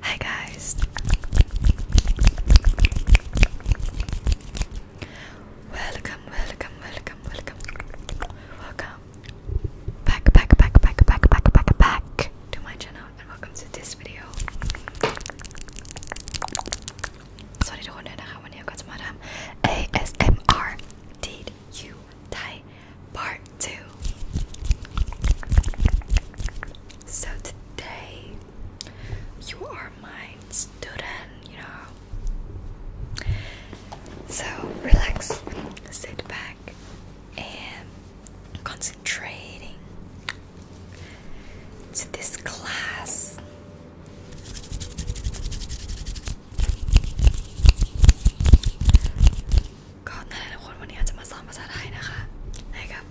Hi guys. Welcome, welcome, welcome, welcome. Welcome. Back, back, back, back, back, back, back, back to my channel and welcome to this video. Sorry to hold on, I got some ASMR. Did you tie part two. So today you are my student, you know. So relax, sit back and concentrating to this class. ก็นั่นแหละทุกคนวันนี้เราจะมาสอนภาษาไทยนะคะให้กับ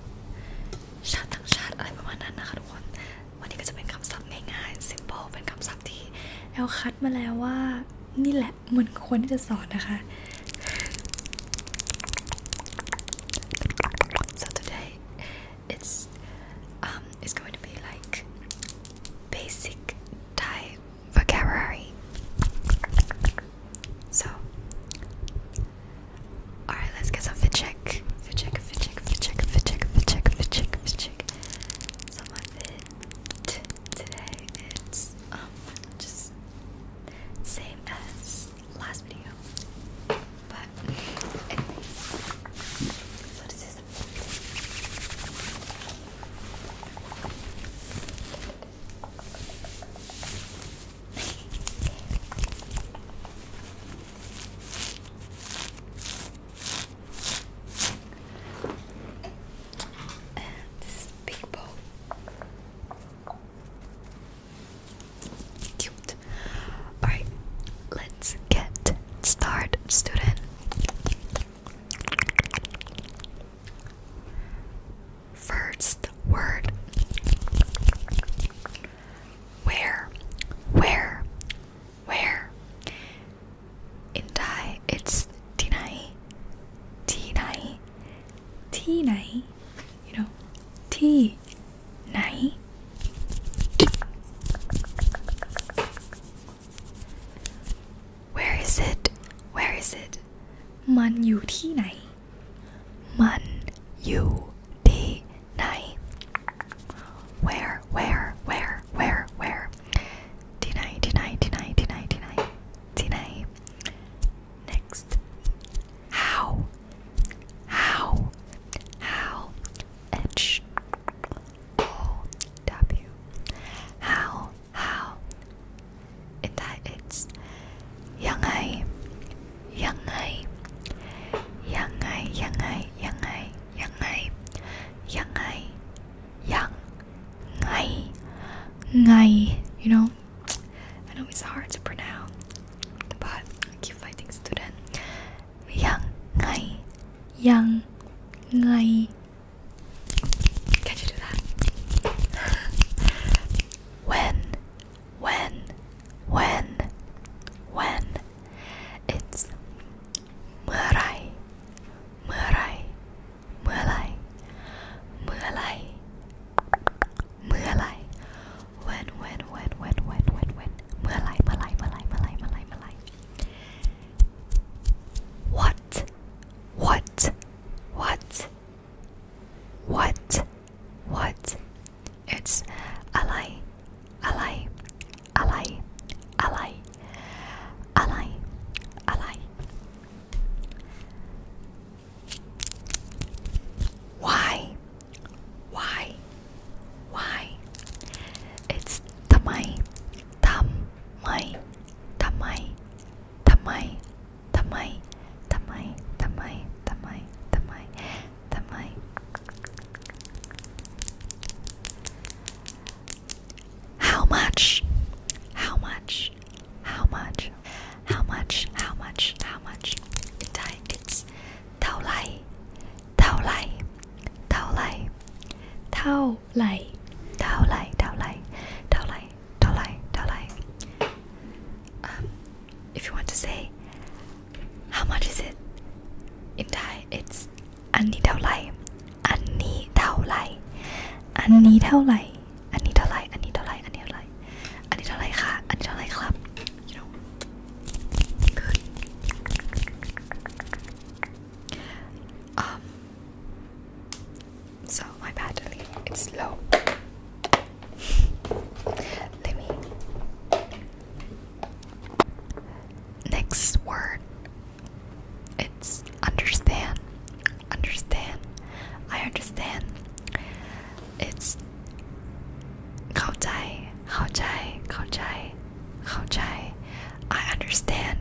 ชาติต่างชาติอะไรประมาณนั้นนะคะทุกคน วันนี้ก็จะเป็นคำศัพท์ง่ายๆ simple เป็นคำศัพท์ที่แอลคัดมาแล้วว่า นี่แหละมันควรที่จะสอนนะคะ so today it's um it's going to be like basic Thai vocabulary. So, alright, let's get some fit check. Fit check, fit check, fit check, So my fit today it's um just same as last video, but anyway. So this and this Cute. Alright, let's get started, student first word. Where, where, where? In Thai, it's tinai, tinai, tinai. You know, tea, nai. Where is it? Where is it? มันอยู่ที่ไหนมันอยู่ที่ไหน where where where where where ที่ไหนที่ไหนที่ไหนที่ไหนที่ไหนที่ไหน next how how how h o w how how it it's yangai yangai yangai yangai yangai yangai yangai yang ngai ngai you know I know it's hard to pronounce but I keep fighting student yang ngai yang ngai can you do that? when, when, when, when. It's Murai, Murai, Mulai, Mulai, Mulai. When, when, when, when, when, when, when. Mulai, Mulai, Mulai, Mulai, Mulai, Mulai. What? What? What? What? What? It's Alai, Alai, Alai, Alai, Alai, Alai. Why? Why? Why? It's tamai, tam, mai, tamai, tamai, Tamai, tamai, tamai, tamai, tamai, tamai. How much? How much? How much? How much? How much? How much? Thai, it's Tao Lai. Tao Lai. Tao Lai. Tao Lai. Tao Lai. Tao Lai. Tao Lai. Dalai, Dalai. Um, if you want to say, how much is it? In Thai, it's Anni Dalai, Anni Dalai, Anni Dalai, Anni Dalai, Anni Dalai, Anni Dalai, Anni Dalai, Anni Dalai Club. You know, good. Um, so my battery is low. Let me. Next word. It's understand. Understand. I understand. It's Khao Chai. Khao Chai. Khao Chai. Khao Chai. I understand.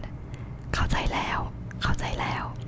Khao Chai Lao. Khao Chai Lao.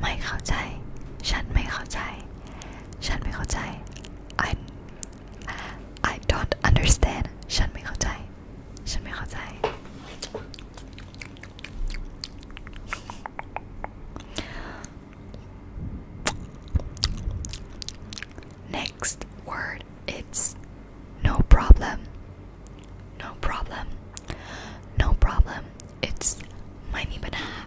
ไม่เข้าใจฉันไม่เข้าใจฉันไม่เข้าใจ I I don't understand ฉันไม่เข้าใจฉันไม่เข้าใจ Next word it's no problem. No problem. No problem. It's ไม่มีปัญหา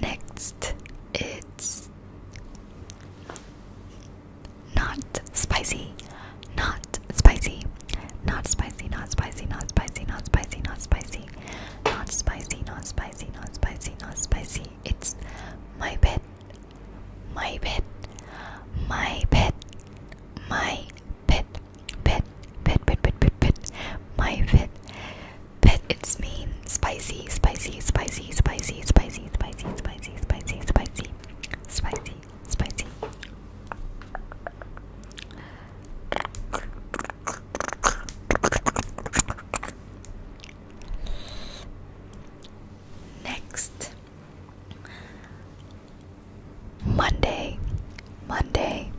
Next, it's not spicy, not spicy, not spicy, not spicy, not spicy, not spicy, not spicy, not spicy, not spicy, not spicy, not spicy. It's my pet my pet, my pet, my pet, pet, pet, pet, pet, pet, pet, my pet, pet. It's mean, spicy, spicy, spicy, spicy, spicy, spicy, spicy, spicy, spicy, spicy, spicy. Next, Monday, Monday,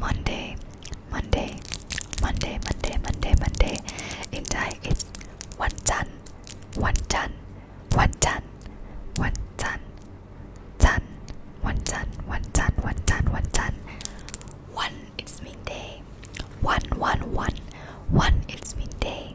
Monday, Monday, Monday, Monday, Monday, Monday. In Thai, it's one tan, one tan, one tan, one tan, tan, one tan, one tan, one tan, one tan. One, it's midday. One, one, one, one, it's midday.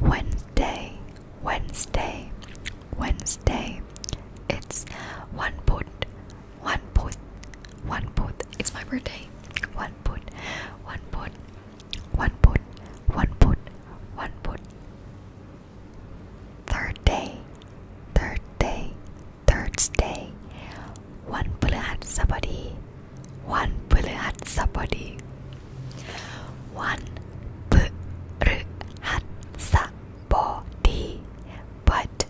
Wednesday, Wednesday, Wednesday. It's one put, one put, one put. It's my birthday. One put, one put, one put, one put, one put. Third day, third day, Thursday. One put at somebody. One Puluhatsa body. One Puluhatsa body. But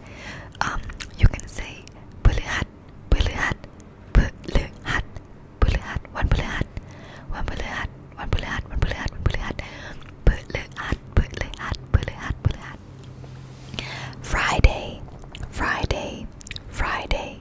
um, you can say Puluhat, Puluhat, Puluhat, Puluhat, one Puluhat, one Puluhat, one Puluhat, one Puluhat, one Puluhat, Puluhat, Puluhat, Puluhat, Puluhat. Friday, Friday, Friday.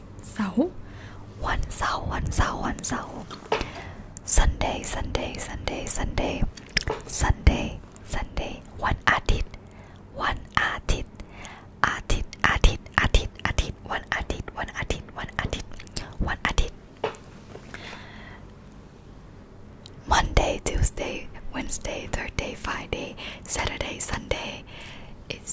one one one เสาร์วันเสาร์วันเสาร์วันเสาร์ Sunday Sunday Sunday Sunday Sunday Sunday One one One one one วันอาทิตย์วันอาทิตย์อาทิตย์อาทิตย์อาทิตย์อาทิตย์วันอาทิตย์วันอาทิตย์วันอาทิตย์วันอาทิตย์ Monday Tuesday Wednesday Thursday Friday Saturday Sunday It's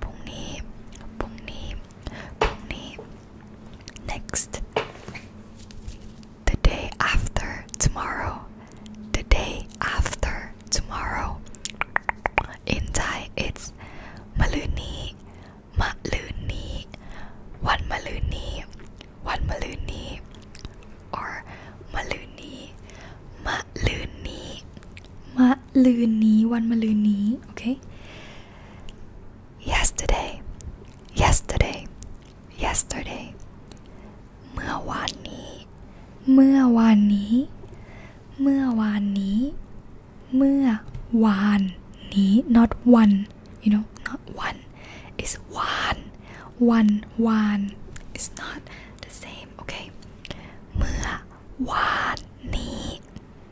พรุ่งนี้พรุ่งนี้พรุ่งนี้ next the day after tomorrow the day after tomorrow in Thai it's มะรืนนี้มะรืนนี้วันมะรืนนี้วันมะรืนนี้ or มะรืนนี้มะรืนนี้มะรืนนี้วันมะรืนนี้ okay yesterday yesterday yesterday เมื่อวานนี้ เมื่อวานนี้ เมื่อวานนี้ เมื่อวานนี้ not one you know not one is one one one is not the same okay เมื่อวานนี้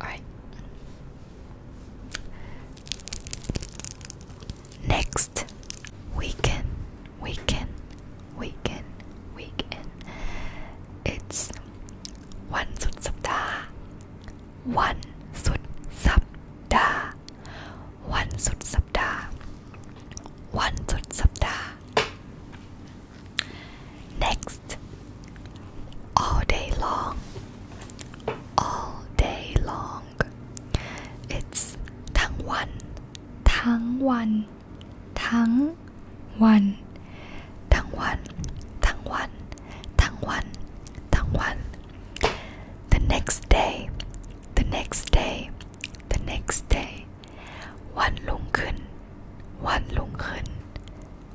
Alright. Next weekend, weekend, weekend, weekend. It's one sud sapda. One sud One sud sapda. One sud Next, all day long, all day long. It's wan, wan, wan, wan, wan, wan, wan. The next day, the next day, the next day. วันลุงขึ้นวันลุงขึ้น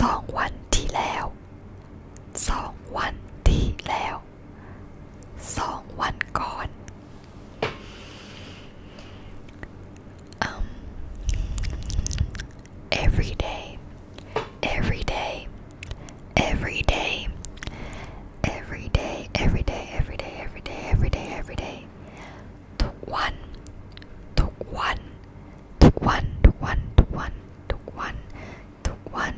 สองวันที่แล้วสองวันที่แล้วสองวันก่อนอ um, every day every day every day every day every day every day every day every day every day ทุกวันทุกวันทุกวันทุกวันทุกวันทุกวัน Took took one,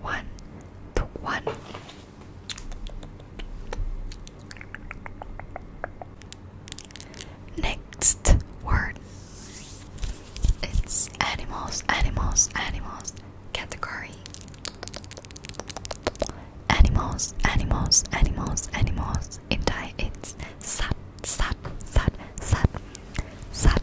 one, took one. Next word It's animals, animals, animals category Animals, animals, animals, animals in it's sat, sat, sat, sat, sat,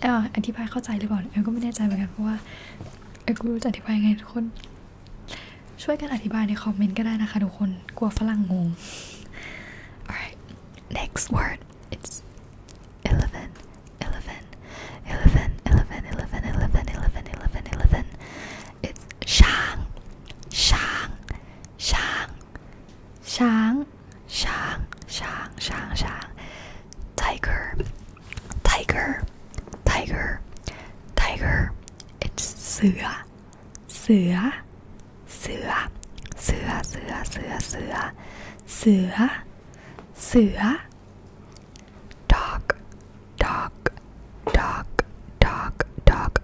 เอออธิบายเข้าใจหรือเปลเออก็ไม่แน่ใจเหมือนกันเพราะว่าเออกูรู้จะอธิบายไงทุกคนช่วยกันอธิบายในคอมเมนต์ก็ได้นะคะทุกคนกลัวฝรั่งงง alright next word it's eleven eleven eleven eleven eleven eleven eleven eleven eleven it's ช้าง ช้าง ช้าง ช้าง Shang, Shang, Shang, Shang. Tiger, Tiger, Tiger, Tiger. It's Sua, Sua, Sua, Sua, Sua, Sua, Sua, Sua, Sua. Dog, dog, dog, dog, dog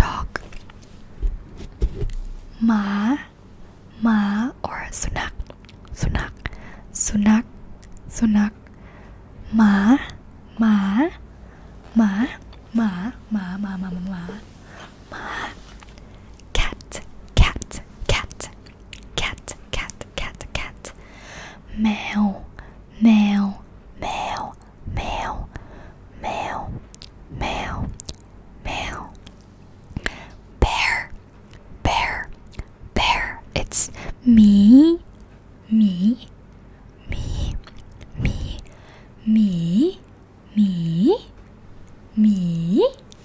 dog หมาหมา or สุนัขสุนัขสุนัขสุนัขหมาหมาหมาหมาหมาหมาหมาหมาหมา cat cat cat cat cat cat cat แมวแมวแมวแมวแมวแมว Male. Bear. Bear. Bear. It's me. Me. Me. Me. Me. Me. Me.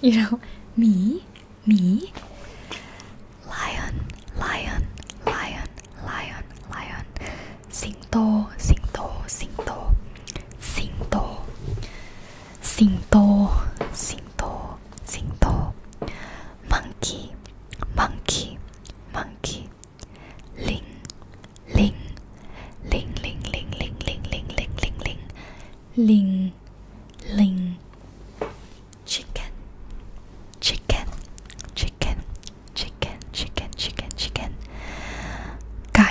You know, me. Me. Lion. Lion. Lion. Lion. Lion. Sing. โตสิงโตสิงโตสิงโตสิงโตสิงโตสิงโตมังคีมังคีมังคีลิงลิงลิงลิงลิงลิงลิงลิงลิงลิงลิงลิงลิง chicken chicken chicken chicken chicken chicken chicken ไก่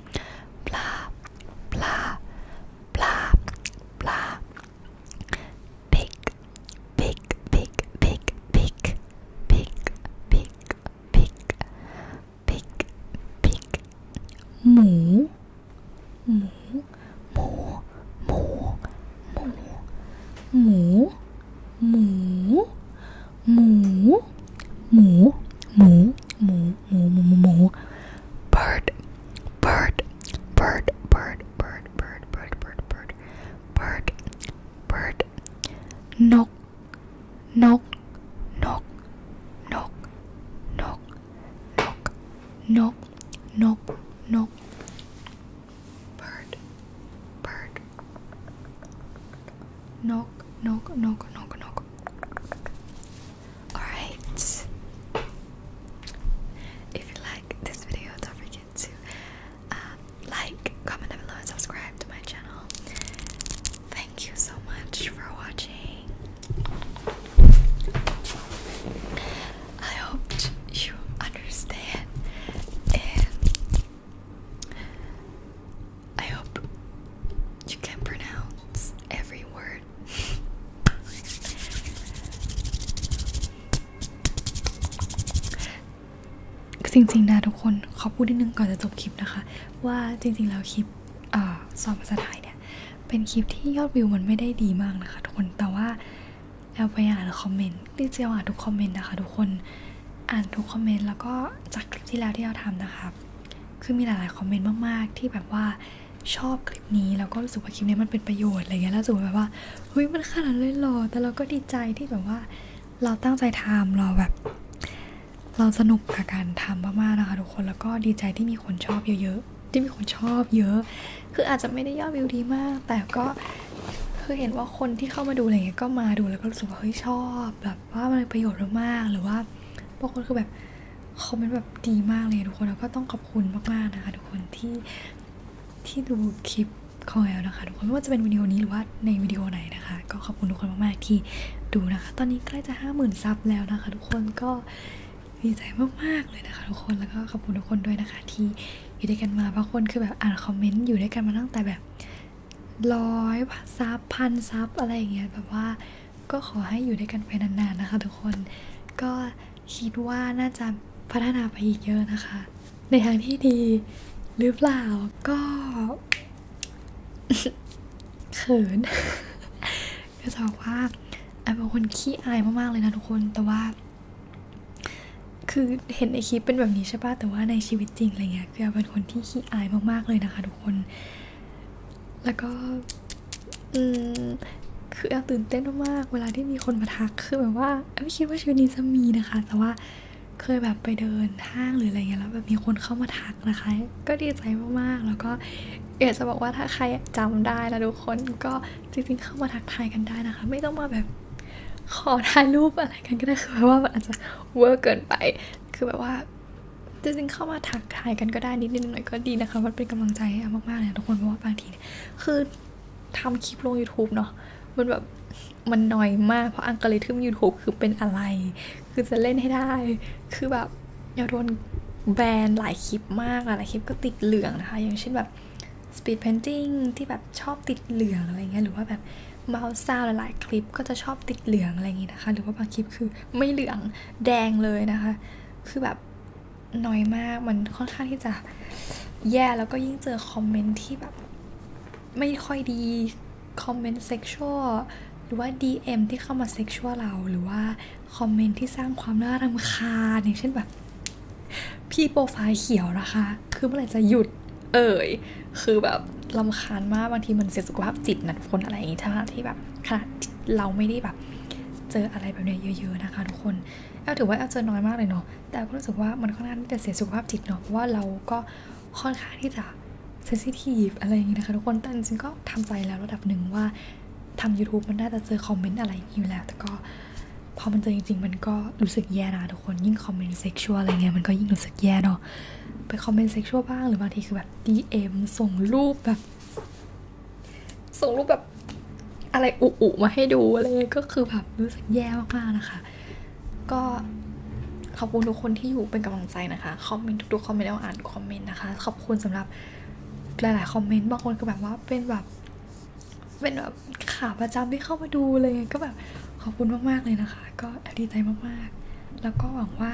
blah, blah, blah, blah. Big, big, big, big, big, big, big, big, big, big. Moo, moo, moo, moo, moo, moo, moo. หมูหมูหมูหมูหมูหมูหมู bird bird bird bird bird bird bird bird bird bird bird นกนกนกนกนกนกนกนก bird bird Knock, knock, knock, knock, knock. Alright. If you like this video, don't forget to um, like, comment down below, and subscribe to my channel. Thank you so much for watching. I hope you understand and จริงๆนะทุกคนขอพูดนิดนึงก่อนจะจบคลิปนะคะ ว่าจริงๆแล้วคลิปสอนภาษาไทยเนี่ยเป็นคลิปที่ยอดวิวมันไม่ได้ดีมากนะคะ ทุกคนแต่ว่าแอลไปอ่านคอมเมนต์ที่เจีอ่านทุกคอมเมนต์นะคะ ทุกคนอ่านทุกคอมเมนต์แล้วก็จากคลิปที่แล้วที่เราทำนะคะคือมีหลายๆคอมเมนต์มาก ๆ ที่แบบว่าชอบคลิปนี้แล้วก็รู้สึกว่าคลิปนี้มันเป็นประโยชน์อะไรเงี้ยแล้วสู้สแบบว่าเฮ้ยมันขนาดเลยหรอ แต่เราก็ดีใจที่แบบว่าเราตั้งใจทำเราแบบเราสนุกกับการทำมากๆนะคะทุกคนแล้วก็ดีใจที่มีคนชอบเยอะ ๆ ที่มีคนชอบเยอะ คืออาจจะไม่ได้ยอด วิวดีมาก แต่ก็คือเห็นว่าคนที่เข้ามาดูอะไรเงี้ยก็มาดูแล้วก็รู้สึกว่าเฮ้ยชอบแบบแบบว่ามันประโยชน์มากๆ หรือว่าบางคนคือแบบคอมเมนต์แบบดีมากเลยทุกคนแล้วก็ต้องขอบคุณมากๆนะคะ ทุกคนที่ที่ดูคลิปของแอลนะคะ ทุกคนไม่ว่าจะเป็นวิดีโอนี้หรือว่าในวิดีโอไหนนะคะก็ขอบคุณทุกคนมากๆที่ดูนะคะ ตอนนี้ใกล้จะห้าหมื่นซับแล้วนะคะ ทุกคนก็ดีใจมากๆเลยนะคะ ทุกคนแล้วก็ขอบคุณทุกคนด้วยนะคะ ที่อยู่ด้วยกันมาบางคนคือแบบอ่านคอมเมนต์อยู่ด้วยกันมาตั้งแต่แบบร้อยซับพันซับอะไรอย่างเงี้ยแบบว่าก็ขอให้อยู่ด้วยกันไปนานๆนะคะทุกคนก็คิดว่าน่าจะพัฒนาไปอีกเยอะนะคะ ในทางที่ดีหรือเปล่าก็เขินก็จะบอกว่าไอ้บางคนขี้อายมากๆเลยนะทุกคนแต่ว่า คือเห็นในคลิปเป็นแบบนี้ใช่ป่ะแต่ว่าในชีวิตจริงอะไรเงี้ยคือเป็นคนที่ขี้อายมากๆเลยนะคะทุกคนแล้วก็อืมคือแอลตื่นเต้นมาก เวลาที่มีคนมาทัก คือแบบว่า ไม่คิดว่าชีวิตนี้จะมีนะคะ แต่ว่าเคยแบบไปเดินห้างหรืออะไรเงี้ยแล้วแบบมีคนเข้ามาทักนะคะ ก็ดีใจมากๆ แล้วก็อยากจะบอกว่าถ้าใครจำได้แล้วทุกคนก็จริงๆ เข้ามาทักทายกันได้นะคะ ไม่ต้องมาแบบขอถ่ายรูปอะไรกันก็ได้คือแบบว่ามันอาจจะเวอร์เกินไป คือแบบว่าจะริงเข้ามาถักทายกันก็ได้นิดนึงหน่อยก็ดีนะคะมันเป็นกำลังใจให้มากๆเลยทุกคนเพราะว่าบางทีเนี่ยคือทำคลิปลง YouTube เนาะมันแบบมันน้อยมากเพราะอังกฤษทึม YouTube คือเป็นอะไร คือจะเล่นให้ได้ คือแบบเราโดนแบรนด์หลายคลิปมากหลายคลิปก็ติดเหลืองนะคะ อย่างเช่นแบบ speed painting ที่แบบชอบติดเหลืองอะไรเงี้ยหรือว่าแบบเมาส์ซาวหลายๆคลิปก็จะชอบติดเหลืองอะไรอย่างนี้นะคะ หรือว่าบางคลิปคือไม่เหลืองแดงเลยนะคะ คือแบบน้อยมากมันค่อนข้างที่จะแย่แล้วก็ยิ่งเจอคอมเมนต์ที่แบบไม่ค่อยดี คอมเมนต์เซ็กชวลหรือว่า DM ที่เข้ามาเซ็กชวลเรา หรือว่าคอมเมนต์ที่สร้างความน่ารำคาญอย่างเช่นแบบ พี่โปรไฟล์เขียวนะคะ คือเมื่อไหร่จะหยุด เอ่ยคือแบบลำคาญมากบางทีมันเสียสุขภาพจิตนะทุกคนอะไรอย่างนี้ถ้าที่แบบขนาดเราไม่ได้แบบเจออะไรแบบนี้เยอะๆนะคะทุกคนเอาถือว่าเอาเจอน้อยมากเลยเนาะแต่ก็รู้สึกว่ามันค่อนข้างที่จะเสียสุขภาพจิตเนาะเพราะว่าเราก็ค่อนข้างที่จะเซนซิทีฟอะไรอย่างนี้นะคะทุกคนแต่จริงๆ ก็ทำใจแล้วระดับหนึ่งว่าทำ YouTube มันน่าจะเจอคอมเมนต์อะไรอยู่แล้ว แต่ก็พอมันเจอจริงๆมันก็รู้สึกแย่นะทุกคนยิ่งคอมเมนต์เซ็กชวลอะไรเงี้ยมันก็ยิ่งรู้สึกแย่เนาะไปคอมเมนต์เซ็กชวลบ้างหรือบางทีคือแบ DM ส่งรูปแบบ ส่งรูปแบบอะไรอุๆมาให้ดู อะไรก็คือแบบรู้สึกแย่มากๆนะคะ ก็ขอบคุณทุกคนที่อยู่เป็นกำลังใจนะคะ คอมเมนต์ทุกๆคอมเมนต์เราอ่านคอมเมนต์นะคะ ขอบคุณสำหรับ หลายๆคอมเมนต์บางคนก็แบบว่าเป็นแบบ เป็นแบบขาประจำที่เข้ามาดูเลยก็แบบ ขอบคุณมาก ๆ เลยนะคะ ก็ดีใจมากๆ แล้วก็หวังว่า